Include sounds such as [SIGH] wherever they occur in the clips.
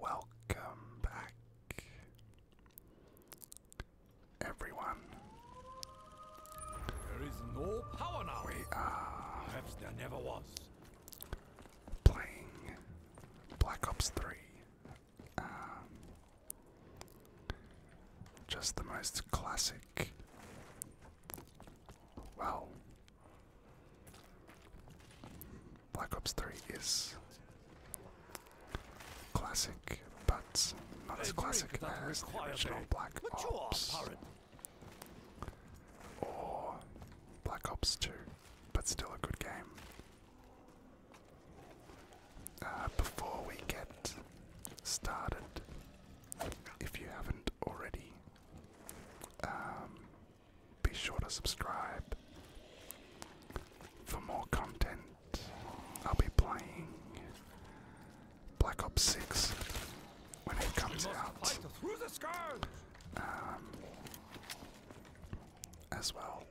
Welcome back, everyone. We are. Perhaps there never was. Playing Black Ops 3. Um, just the most classic. Well, Black Ops 3 is classic, but not as classic as the original Black Ops. Or Black Ops 2, but still a good game. Uh, before we get started, if you haven't already, um, be sure to subscribe for more content. I'll be playing Black Ops 6 when it comes out, um, as well.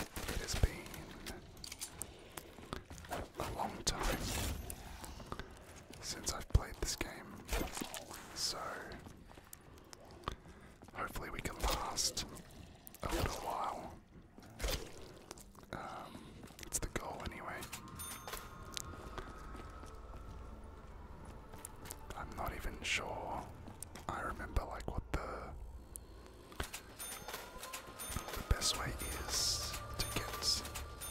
It has been a long time since I've played this game. So hopefully we can last a little while. Um, it's the goal anyway. I'm not even sure. I remember like what the best way is to get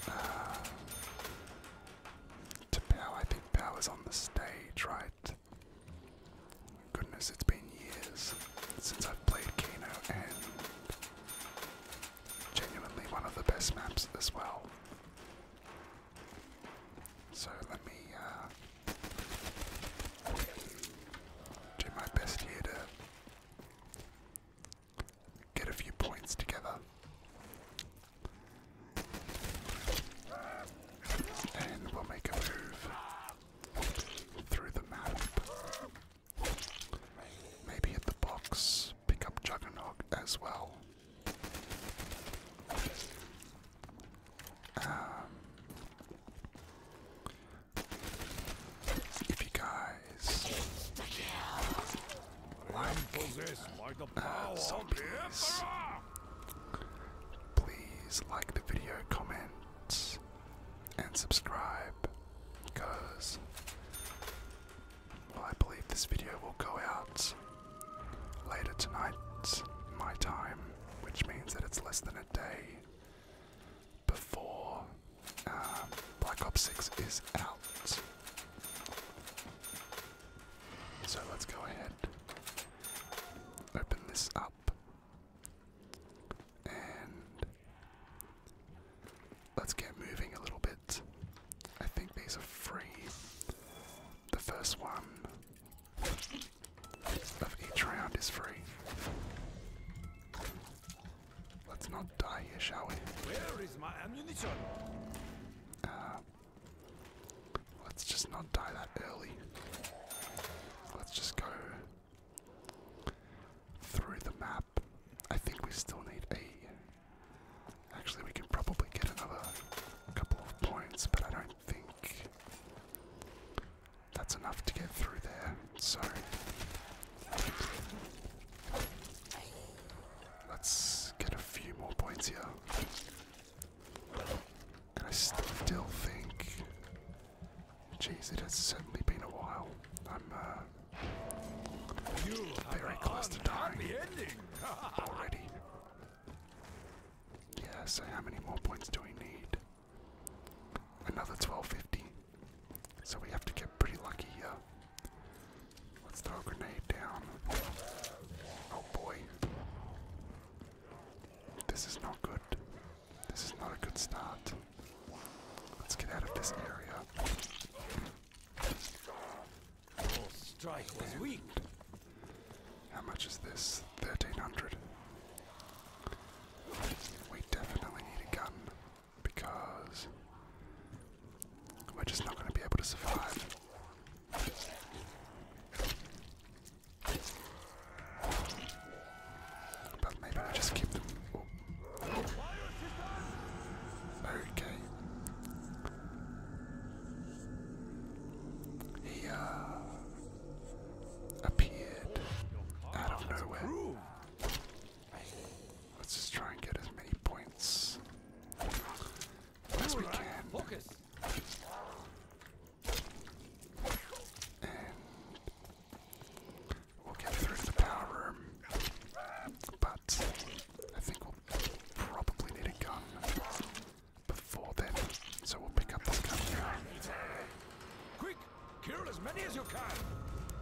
uh, to Pal. I think Pal is on the stage, right? Goodness, it's been years since I've played Keno, and genuinely one of the best maps as well. So let me uh, do my best here to get a few points together. And we'll make a move through the map. Maybe hit the box, pick up Juggernaut as well. Um, if you guys guys. Like, uh, so please, please like the video, comment, and subscribe, because I believe this video will go out later tonight, my time, which means that it's less than a day before um, Black Ops 6 is out. So let's go ahead, open this up, and let's get moving a little bit. I think these are free. The first one of each round is free. Let's not die here, shall we? Where is my ammunition? Uh, let's just not die that early. Let's just go through the map. I think we still need a. Actually, we can probably get another couple of points, but I don't think that's enough to get through there. Sorry. Let's get a few more points here. And I still think. Jeez, it has certainly been a while. I'm uh, very close to dying [LAUGHS] already. Yeah, so how many more points do we need? Another 1250. So we have to get pretty lucky here. Let's throw a grenade down. Oh boy. This is not good. This is not a good start. Let's get out of this area. strike was weak. How much is this? 1300. We definitely need a gun because we're just not going to be able to survive. But maybe I just keep them. Okay. He uh, appeared out of nowhere. Let's just try and get as many points as we can. And we'll get through to the power room. But I think we'll probably need a gun before then. So we'll pick up the gun here.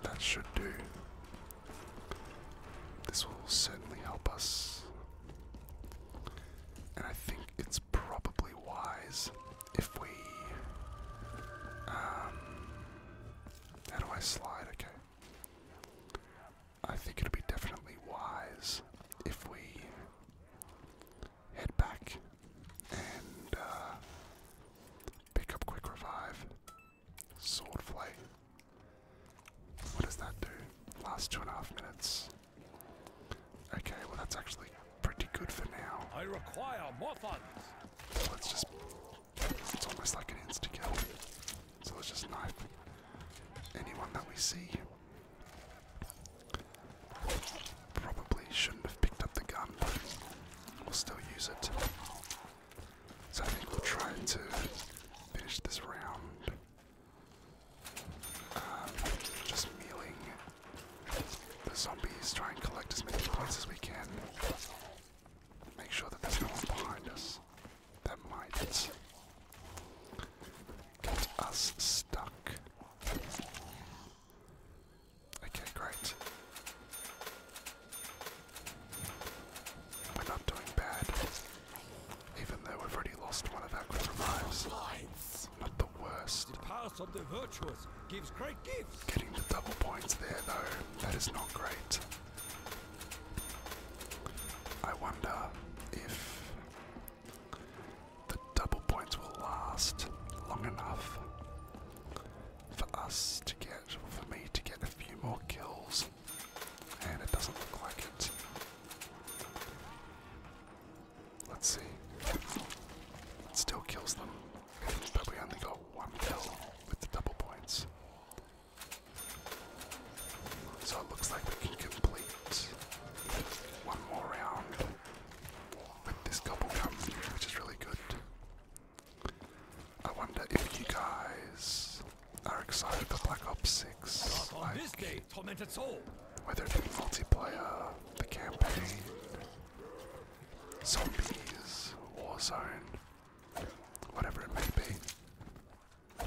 That should do. This will certainly help us. And I think it's probably wise if we. Um, how do I slide? Okay. I think it'll be definitely wise if we head back and uh, pick up Quick Revive. Swordflay. What does that do? Last two and a half minutes. Okay, well that's actually pretty good for now. I require more funds. Let's just it's almost like an insta kill. So let's just knife anyone that we see. Probably shouldn't have picked up the gun, but we'll still use it. So I think we'll try to finish this round. Um, just mealing the zombies, try and collect as many points as we can. Make sure that there's no one behind us that might get us stuck. Okay, great. We're not doing bad. Even though we've already lost one of our good revives. Not the worst. The path of the virtuous gives great gifts. Getting the double points there though, that is not great. I wonder if the double points will last long enough for us to get, for me to get a few more kills and it doesn't look like it. Let's see. It still kills them, but we only got one kill with the double points. So it looks like we can complete one more round with this gobble gum, which is really good. I wonder if you guys are excited for Black Ops 6. Whether it be multiplayer, the campaign, zombies, Warzone, whatever it may be.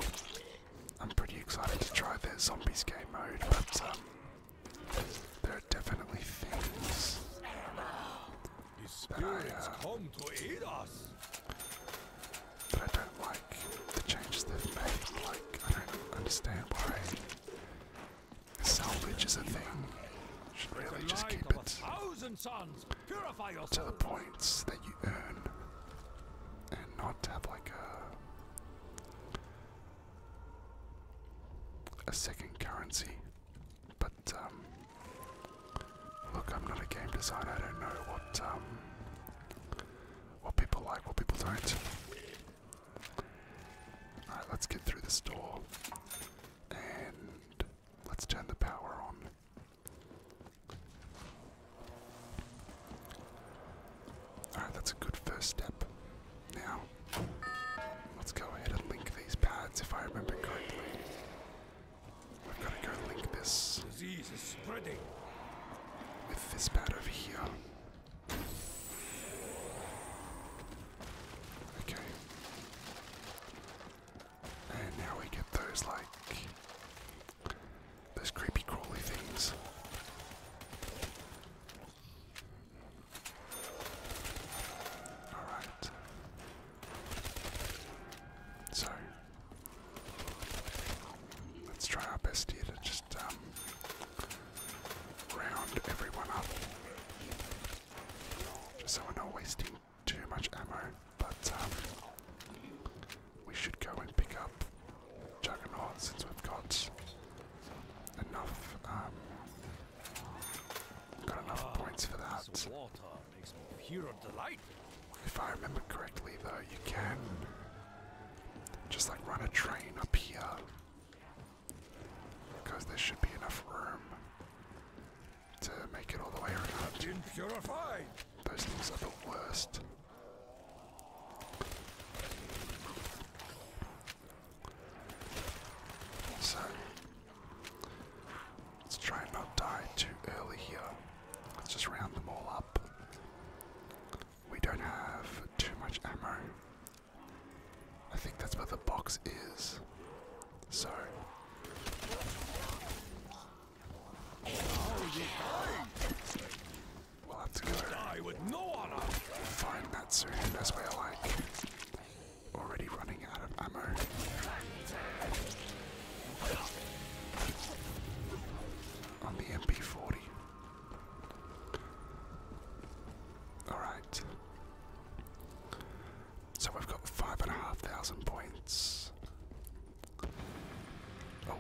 I'm pretty excited to try their zombies game mode, but um, there are definitely things his spirits come to aid us. But I don't like the changes they've made. Like, I don't understand why salvage is a thing. Should really just keep it sons. Purify yourself. to the points that you earn, and not have like a a second currency. But um, Look, I'm not a game designer. I don't know what um, what people like, what people don't. All right, let's get through this door and let's turn the power on. Alright, that's a good first step. Now, let's go ahead and link these pads if I remember correctly. I've got to go link this disease is spreading with this pad over here. Okay. And now we get those like those creepy crawly things. Alright. So Let's try our best here to just um, round everyone up. Just so we're not wasting too much ammo, but um, we should go and pick up Juggernaut since we've got enough um, got enough points for that makes me a hero delight. If I remember correctly, though, you can just like run a train up here because there should be enough room to make it all the way around. Purified. Those things are the worst. So Let's try and not die too early here. Let's just round them all up. We don't have too much ammo. I think that's where the box is. So. Oh, yeah. We'll have to go die with no honor. find that soon as we're like already running out of ammo on the MP40. Alright. So we've got five and a half thousand points. Oh,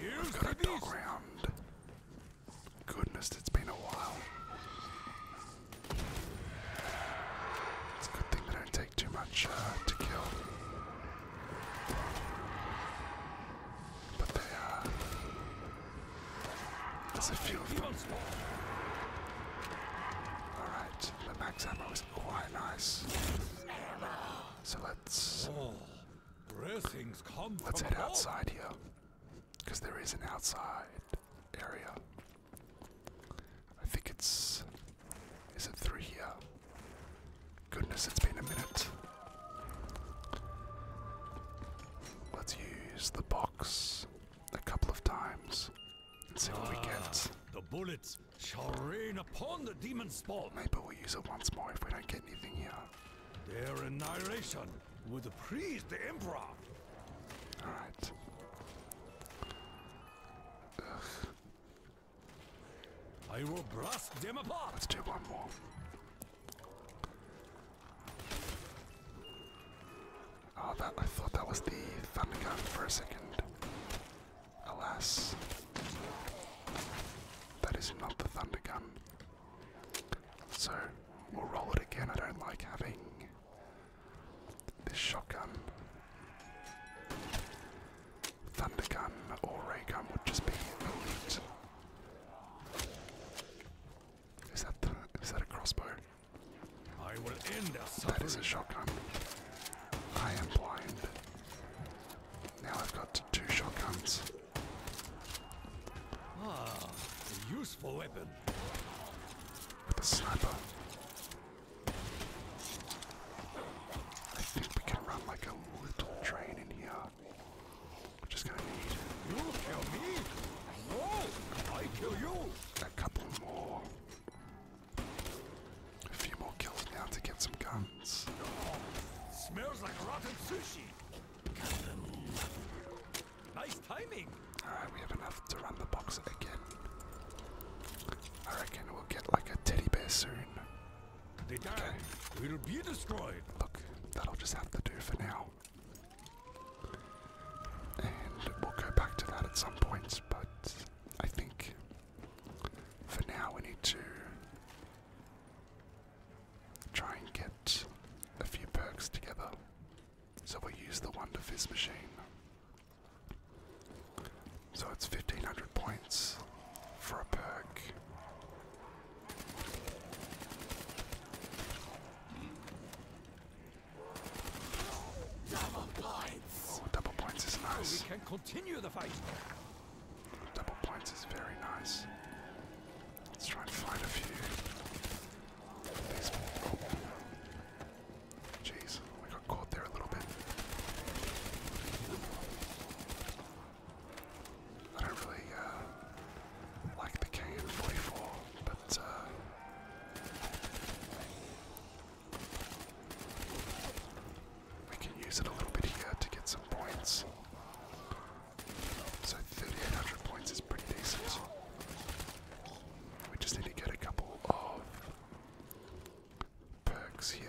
we've got a dog round. Goodness, it's been a while. It's a good thing they don't take too much uh, to kill. But they are. Uh, Does it feel of Alright, the max ammo is quite nice. So let's. Let's head outside here. Because there is an outside area. I think it's. Is it three here? Goodness, it's been a minute. Let's use the box a couple of times and see what we get. Ah, the bullets shall rain upon the demon spawn. Maybe we'll use it once more if we don't get anything here. Their annihilation would please the Emperor. I will blast them apart. Let's do one more. Oh, that I thought that was the thunder gun for a second. Alas, that is not the thunder gun. So we'll roll it again. I don't like having this shotgun, thunder or ray would just be elite. Is that is that a crossbow? I will end that is a shotgun. I am blind. Now I've got two shotguns. Ah, useful weapon. sniper. I think we can run like a little train in here. Which just gonna need. You kill me? No! A couple more. A few more kills now to get some guns. Smells like rotten sushi. Nice Alright, we have enough to run the box again. I reckon we'll get like a teddy bear soon. They die. will be destroyed. Look, that'll just have to do for now. And we'll go back to that at some points, but I think for now we need to try and get a few perks together. So we use the Wonder Fizz machine. So it's 1500 points for a perk. Double points! Oh, double points is nice. We can continue the fight. Double points is very nice. Let's try and find a few. Jeez, we got caught there a little bit. I don't really uh, like the KN44, but uh, we can use it a little bit here to get some points. So 3,800 points is pretty decent. We just need to get a couple of perks here.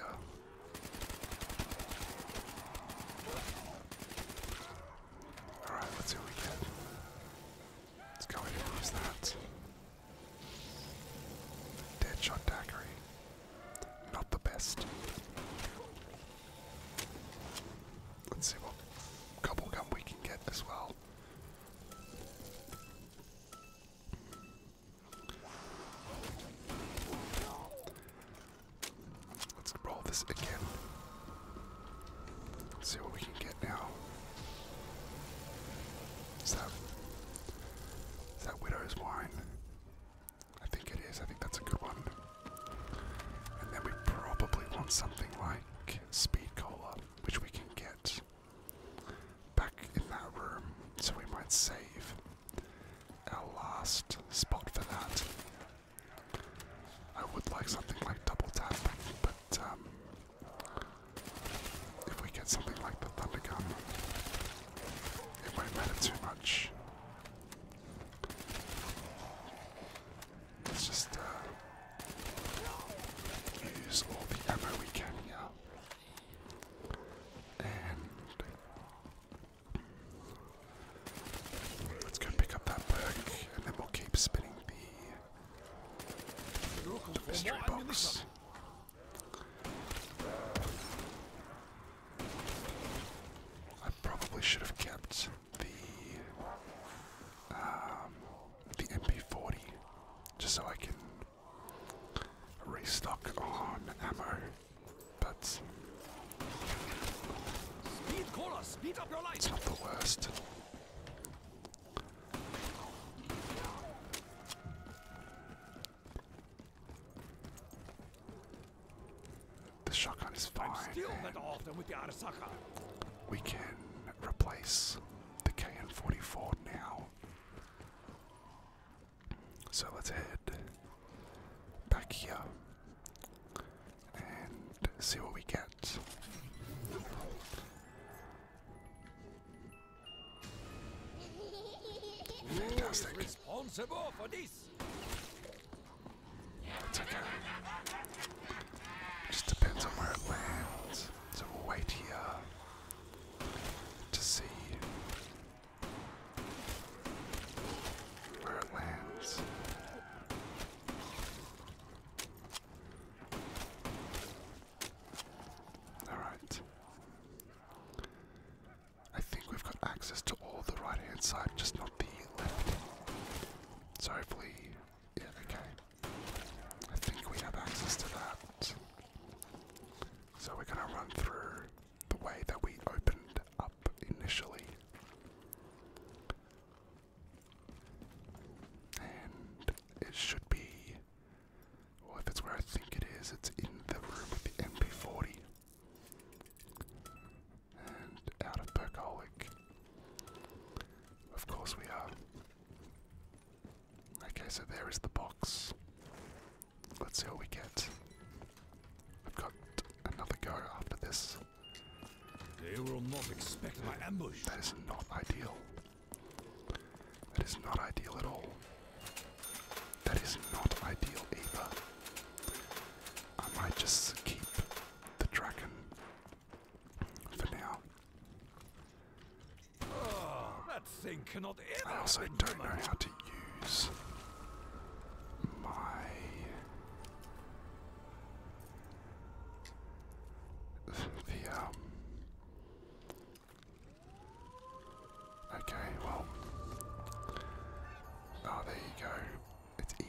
Alright, let's see what we get. Let's go and use that. Deadshot daiquiri. Not the best. Let's see what gobblegum we can get as well. Let's roll this again. Let's see what we can get now. Is that, is that Widow's Wine? I think it is. I think that's a good one. And then we probably want something like Speed Cola, which we can get back in that room, so we might save our last spot for that. I would like something like double tap, but um, if we get something like the thunder gun, it won't matter too much. Let's just uh, use all the ammo we can here. And let's go pick up that perk, and then we'll keep spinning the mystery box. I probably should have kept the um, the MP40 just so I can restock on ammo. But speed caller, speed up your life. it's not the worst. The shotgun is fine. We can replace the KN44 now so let's head back here and see what we get. Just depends on where it lands. So wait here to see where it lands. Alright. I think we've got access to all the right hand side, just not the left. So hopefully, yeah, okay. I think we have access to that. So we're going to run through the way that we opened up initially. And it should be, well, if it's where I think it is, it's in the room with the MP40. And out of Percolic. Of course we are. Okay, so there is the box. Let's see what we get. I've got another go after this. They will not expect my ambush. That is not ideal. That is not ideal at all. That is not ideal either. I might just keep the dragon for now. That thing cannot ever I also don't know how to use my the Okay, well Oh there you go. It's E.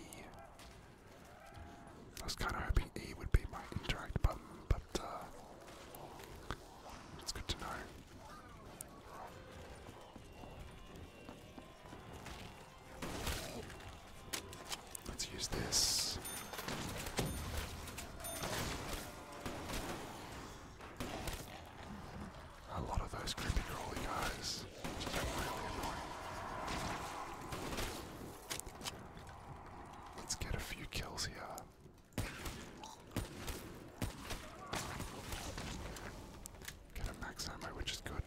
I was kinda hoping E would be my interact button, but uh, it's good to know. Let's use this. A lot of those creepy crawly guys, Let's get a few kills here. Get a max ammo, which is good.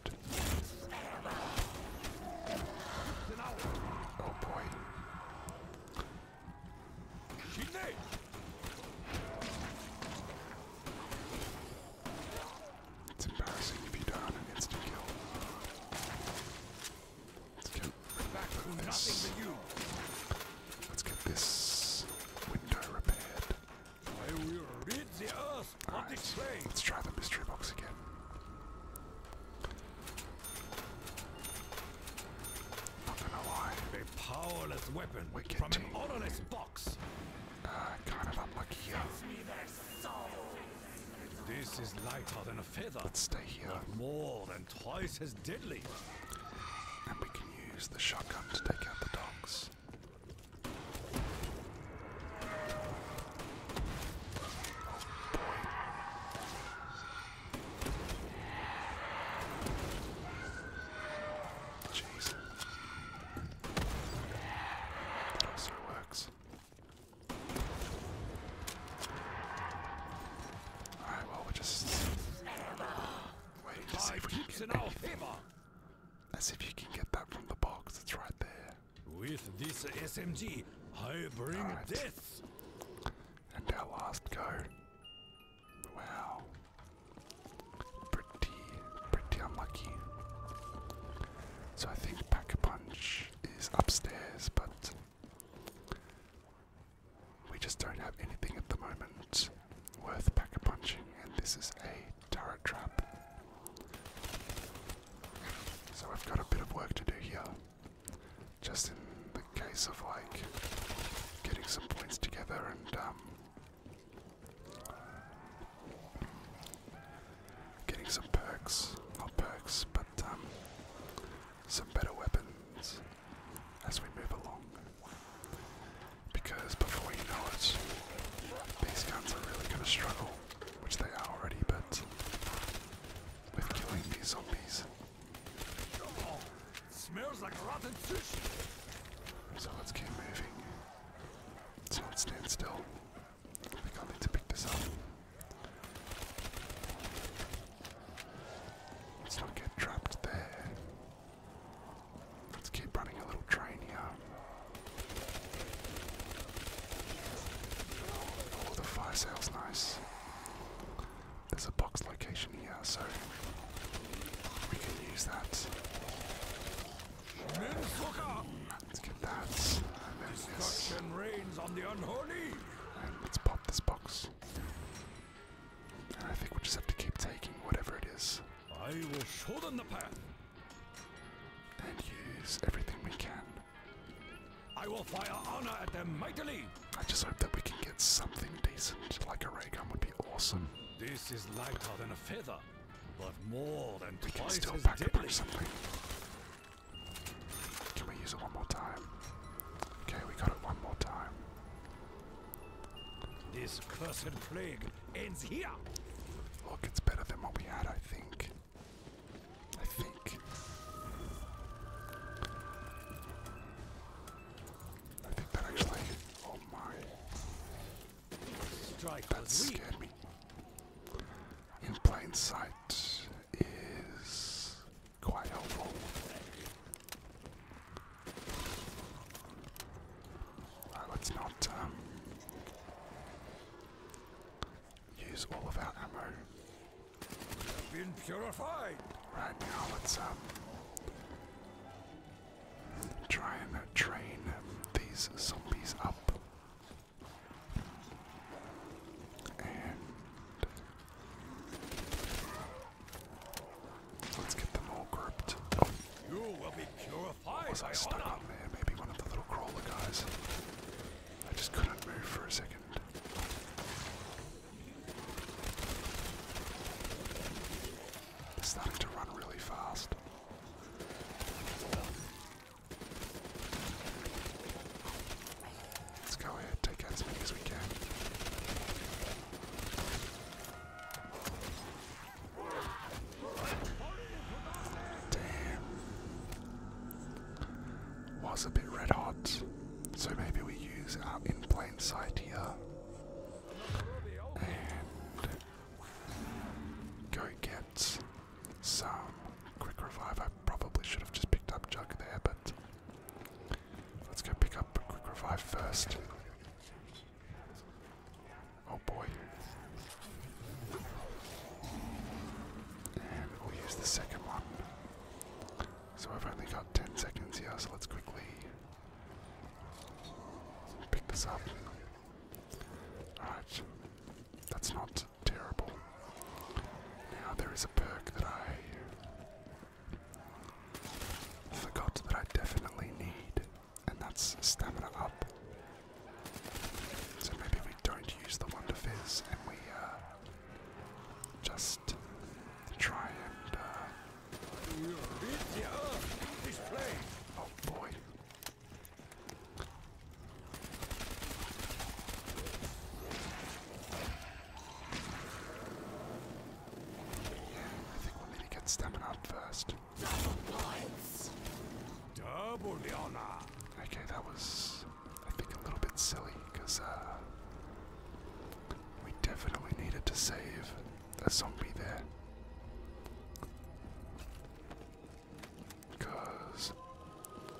Oh boy. It's embarrassing if you don't have an instant kill. Let's get this. Let's get this window repaired. I will rid the earth Let's try the mystery box again. Not gonna A powerless weapon from an odorless box. Uh, kind of unlucky here. This is lighter than a feather. Let's stay here. more than twice as deadly. And we can use the shotgun to take out the dogs. Oh, also works. Alright, well, we'll just wait to see if we can get anything. Let's see if you can get that from the box. It's right there. With this SMG, I bring death. And our last go. Wow. Pretty, pretty unlucky. So I think Pack a Punch is upstairs, but we just don't have anything at the moment worth pack a punching, and this is a turret trap. So I've got a bit of work to do here. Just in the case of like getting some points together and um, getting some perks, not perks, but um, some better weapons as we move along. Because before you know it, these guns are really going to struggle, which they are already, but with killing these zombies. So let's keep moving. Let's not stand still. I think I need to pick this up. Let's not get trapped there. Let's keep running a little train here. Oh, the fire sale's nice. There's a box location here, so we can use that. Let's get that. let's pop this box. I think we just have to keep taking whatever it is. I will show them the path. And use everything we can. I will fire honor at them mightily. I just hope that we can get something decent, like a ray gun would be awesome. This is lighter than a feather, but more than we can still pack deadly. Up Can we use it one more time? Okay, we got it one more time. This cursed plague ends here. Look, it's better than what we had, I think. I think. I think that actually. Oh my. that scared me. In plain sight is quite helpful. Uh, let's not um, use all of our ammo. Right now, let's um, try and train these zombies up. And Let's get them all grouped. Oh. You will be purified. Was I stuck on there? Maybe one of the little crawler guys. I just couldn't move for a second. They're starting to run really fast. Let's go ahead, take out as many as we can. Damn. Was a bit red hot. So maybe we use our in plane sight here. And go get some quick revive. I probably should have just picked up Jug there, but Let's go pick up a quick revive first. Oh boy. we use the second one. So I've only got 10 seconds here, so let's quickly pick this up. Alright, that's not terrible. Now there is a perk that I forgot that I definitely need, and that's stamina up. So maybe we don't use the Wonder Fizz and we uh, just try and. Uh, oh boy. I think we'll need to get stamina up first. Double the honor. Okay, that was, I think, a little bit silly uh, we definitely needed to save a zombie there.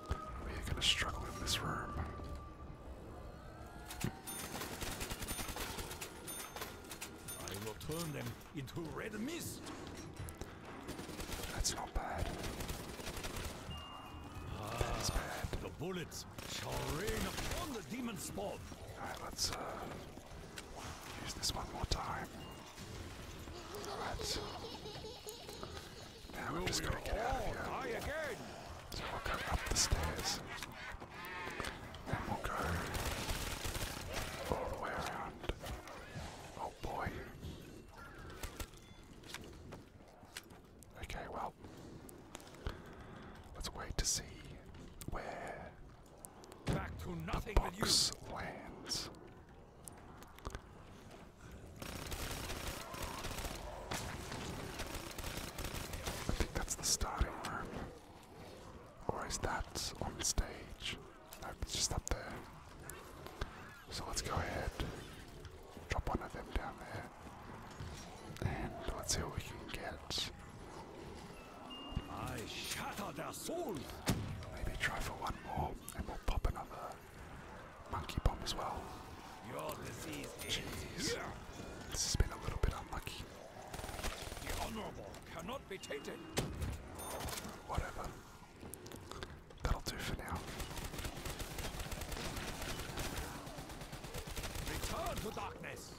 we are going to struggle in this room. I will turn them into red mist. That's not bad. that is bad. Ah, the bullets shall rain upon the demon spawn. let's uh, use this one more time. Alright. Now we're just going so we'll go up the stairs. Then we'll go all the way around. Oh boy. Okay, well, let's wait to see where the box lands. I think that's the starting room. Or is that on stage? No, it's just up there. So let's go ahead, drop one of them down there, and let's see what we can get. Maybe try for one more, and we'll pop another monkey bomb as well. Your is This has been a little bit unlucky. The honorable cannot be tainted. Whatever. That'll do for now. Return to darkness.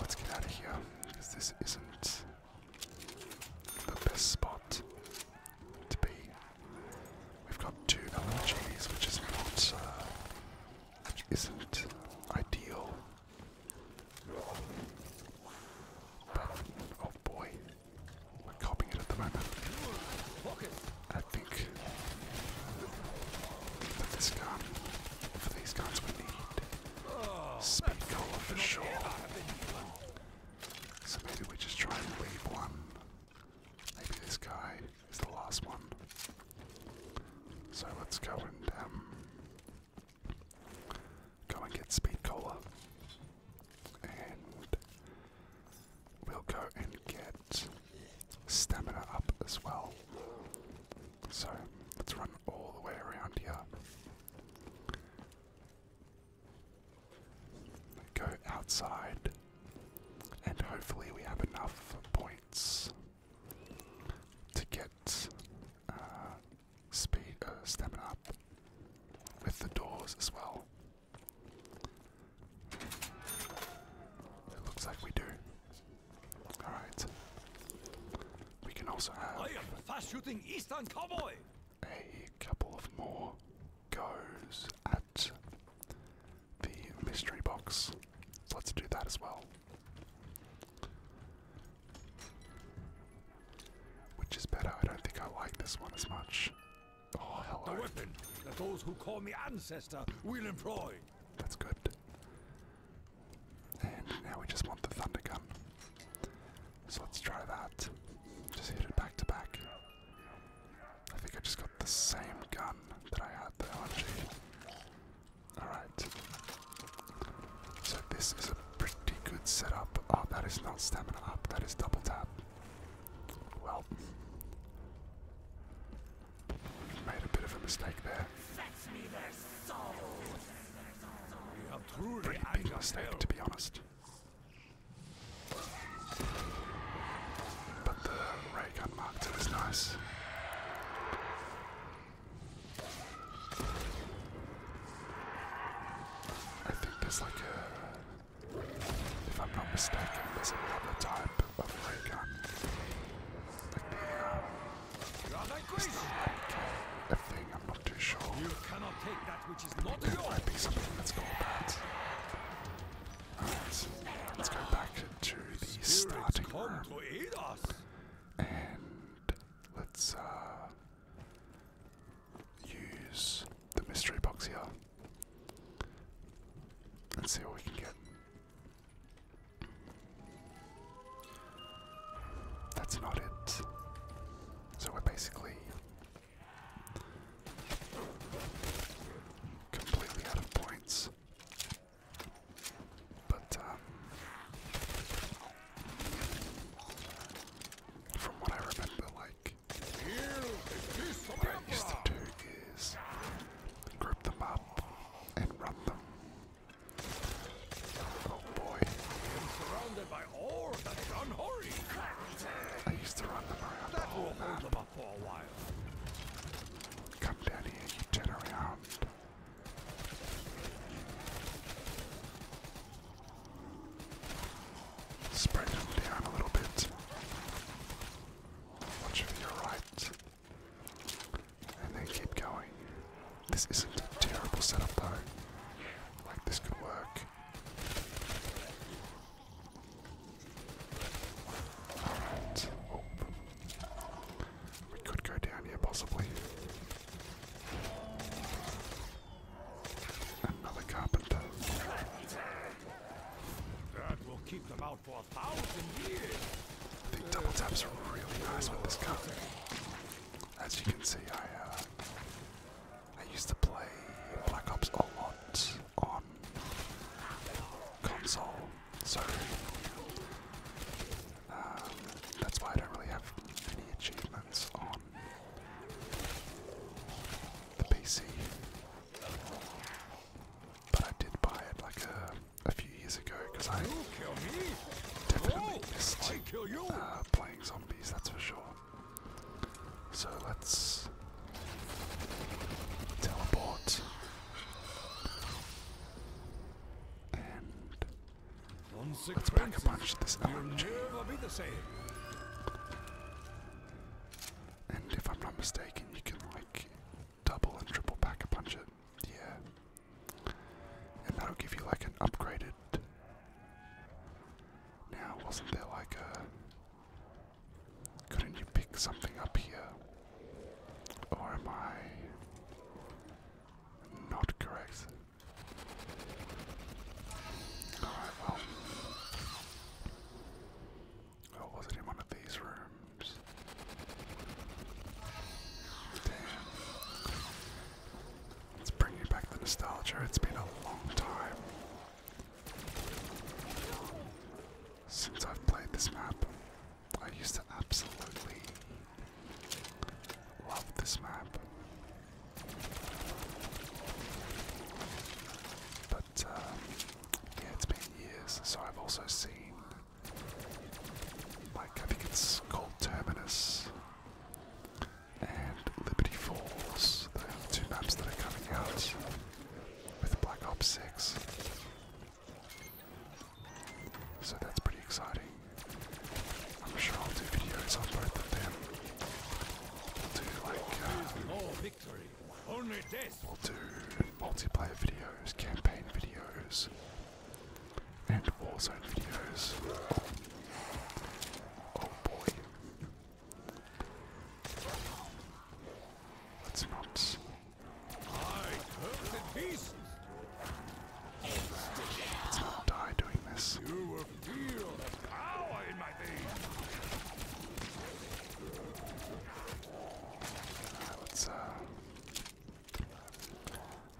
let's get out of here. this isn't the best spot to be. We've got two LMGs, which is not, uh, isn't ideal. But, oh boy, we're copying it at the moment. I think that this gun, for these guns, we need speed for sure. So maybe we just try and leave one. Maybe this guy is the last one. So let's go and um, go and get Speed Cola, and we'll go and get Stamina up as well. So let's run all the way around here. Go outside, and hopefully we have enough point to get uh, speed, uh, up with the doors as well. It looks like we do. Alright. We can also have a couple of more goes at the mystery box. So let's do that as well. Which is better? I don't think I like this one as much. Oh, hello. The weapon that those who call me ancestor will employ. That's good. And now we just want the thunder gun. So let's try that. Just hit it back to back. I think I just got the same gun that I had, the LMG. Alright. So this is a pretty good setup. Oh, that is not stamina up, that is double tap. Well, made a bit of a mistake there. Pretty big mistake, to be honest. But right got mocked. nice. I think there's like a, if I'm not mistaken, there's another type of ray Like the, um, thing, I'm not too sure. which is not it yours. might be something that's called that let's go back to the starting room. And let's uh, use the mystery box here. Let's see what we can get. That's not it. So we're basically completely out of points. But um, from what I remember, like I used to do is group them up and run them. Oh boy! I used to run them around for a while. Come down here, turn around. Spread him down a little bit. Watch your right. And then keep going. This isn't a terrible setup though. Like this could work. We could go down here possibly. Another carpenter. That will keep them out for a thousand years. I think double taps are really nice with this gun. As you can see, I uh, I used to play Black Ops a lot on console, so um, that's why I don't really have any achievements on the PC. But I did buy it like a, few years ago because I definitely missed uh, playing zombies, that's for sure. So let's teleport and let's pack a bunch of this LNG. And if I'm not mistaken, you can like double and triple pack a bunch of yeah. And that'll give you like an upgraded. Now, wasn't there like a couldn't you pick something up here? Or am I not correct? Alright, well. Oh, was it in one of these rooms? Damn. Let's bring you back the nostalgia. It's been a long time since I've played this map. I used to absolutely love this map. But uh, yeah, it's been years, so I've also seen, like, I think it's called Terminus and Liberty Falls, the two maps that are coming out with Black Ops 6. So that's pretty exciting. I'm sure I'll do videos on both of them. do like uh, We'll do multiplayer videos, campaign videos, and warzone videos. Oh, oh boy. Let's not I'll die doing this. Uh, let's uh,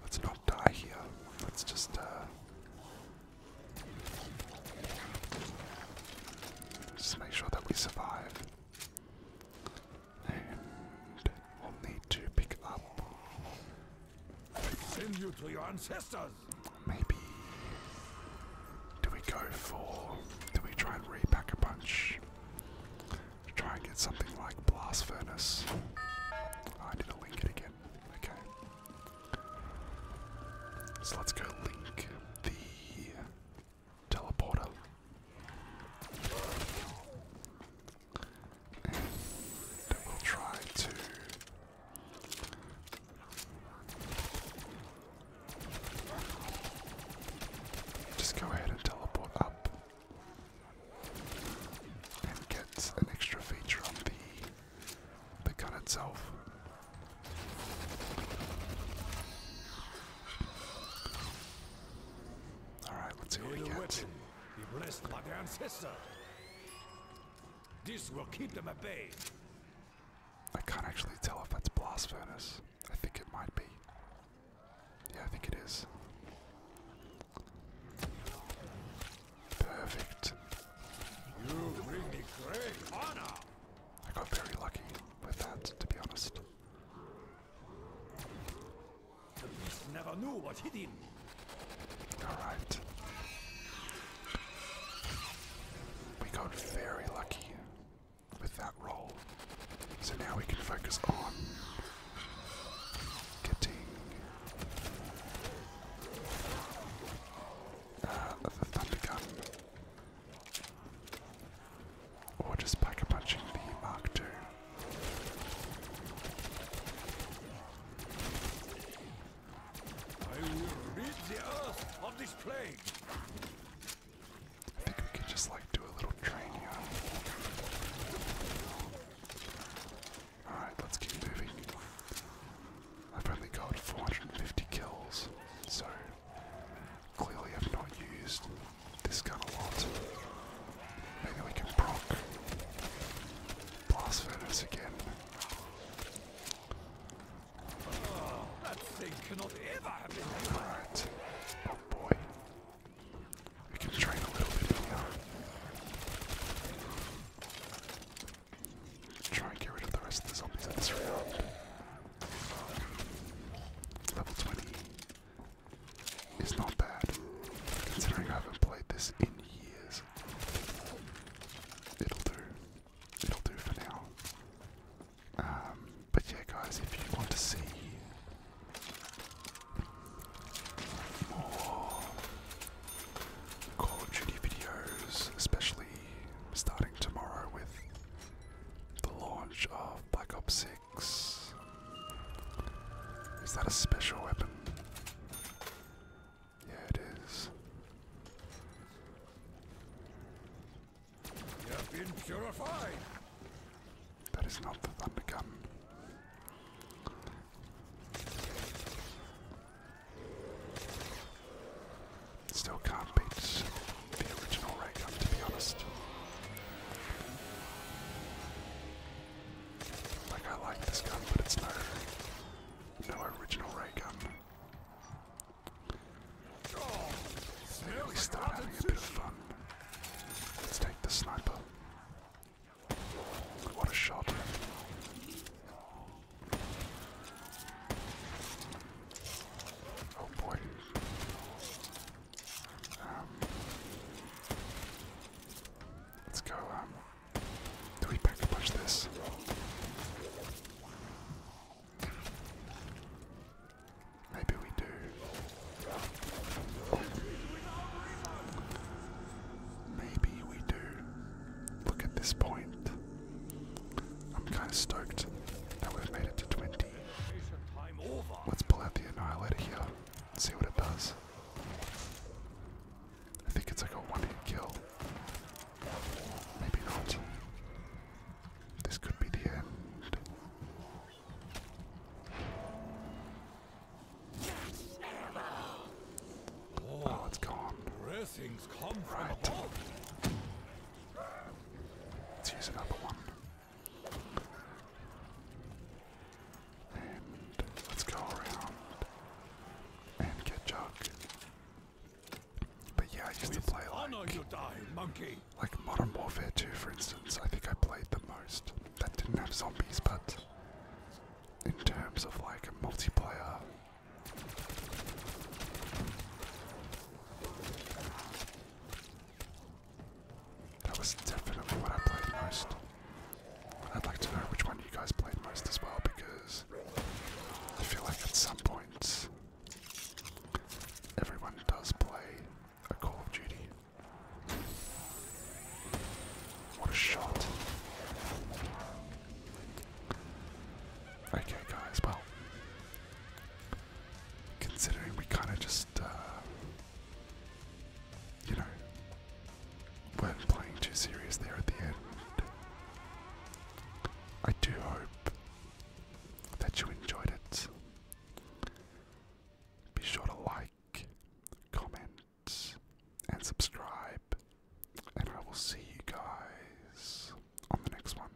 let's not die here. Let's just uh, just make sure that we survive. And we'll need to pick up. Send you to your ancestors. Maybe. Do we go for. Do we try and repack a bunch? Try and get something like Blast Furnace. Ah, I didn't link it again. Okay. So let's go link the teleporter. we'll try to just go ahead and teleport up and get an extra feature on the the gun itself. Alright, let's see what we get. Be blessed by their ancestor. This will keep them at bay. I can't actually tell if that's blast furnace. I think it might be. Yeah, I think it is. Perfect. You bring me great honor. I got very lucky with that, to be honest. The beast never knew what he did. All right. We got very lucky with that roll. So now we can focus on getting uh, the or just pack a punching the Mark II. I will rid the earth of this plague. I think we could just like do a little train Alright, let's keep moving. I've only got 450 kills, so Clearly I've not used this gun a lot. Maybe we can proc Blast Furnace again. that thing cannot ever have been Alright. Oh boy. We can train a little bit here. Try and get rid of the rest of the zombies in this round. Level 20. It's not bad, considering I haven't played this in years. It'll do. It'll do for now. Um, but yeah, guys, if you want to see more Call of Duty videos, especially starting tomorrow with the launch of Black Ops is that a special weapon? Yeah, it is. You have been purified. That is not the gun. Still can't beat the original Raygun, to be honest. Like, I like this gun, but it's no, original Raygun. They really start having a bit of fun. Let's take the sniper. What a shot. Oh boy. Um, let's go. Um, do we push this? Maybe we do. Maybe we do. Look at this point. I'm kind of stoked that we've made it to 20. Let's pull out the Annihilator here see what it does. I think it's like a one hit kill. Maybe not. This could be the end. Oh, it's gone. Right. Let's use another one. And let's go around and get Chuck. But yeah, I used With to play like, monkey. like Modern Warfare 2, for instance. I think I played the most. That didn't have zombies, but in terms of like a multiplayer. That was definitely what I played most. I'd like to know which one you guys played most as well, because I feel like at some points everyone does play a Call of Duty. What a shot. Okay, guys, well, Considering we kind of just, uh, you know, weren't playing too serious there at the end. I do hope that you enjoyed it. Be sure to like, comment, and subscribe, and I will see you guys on the next one.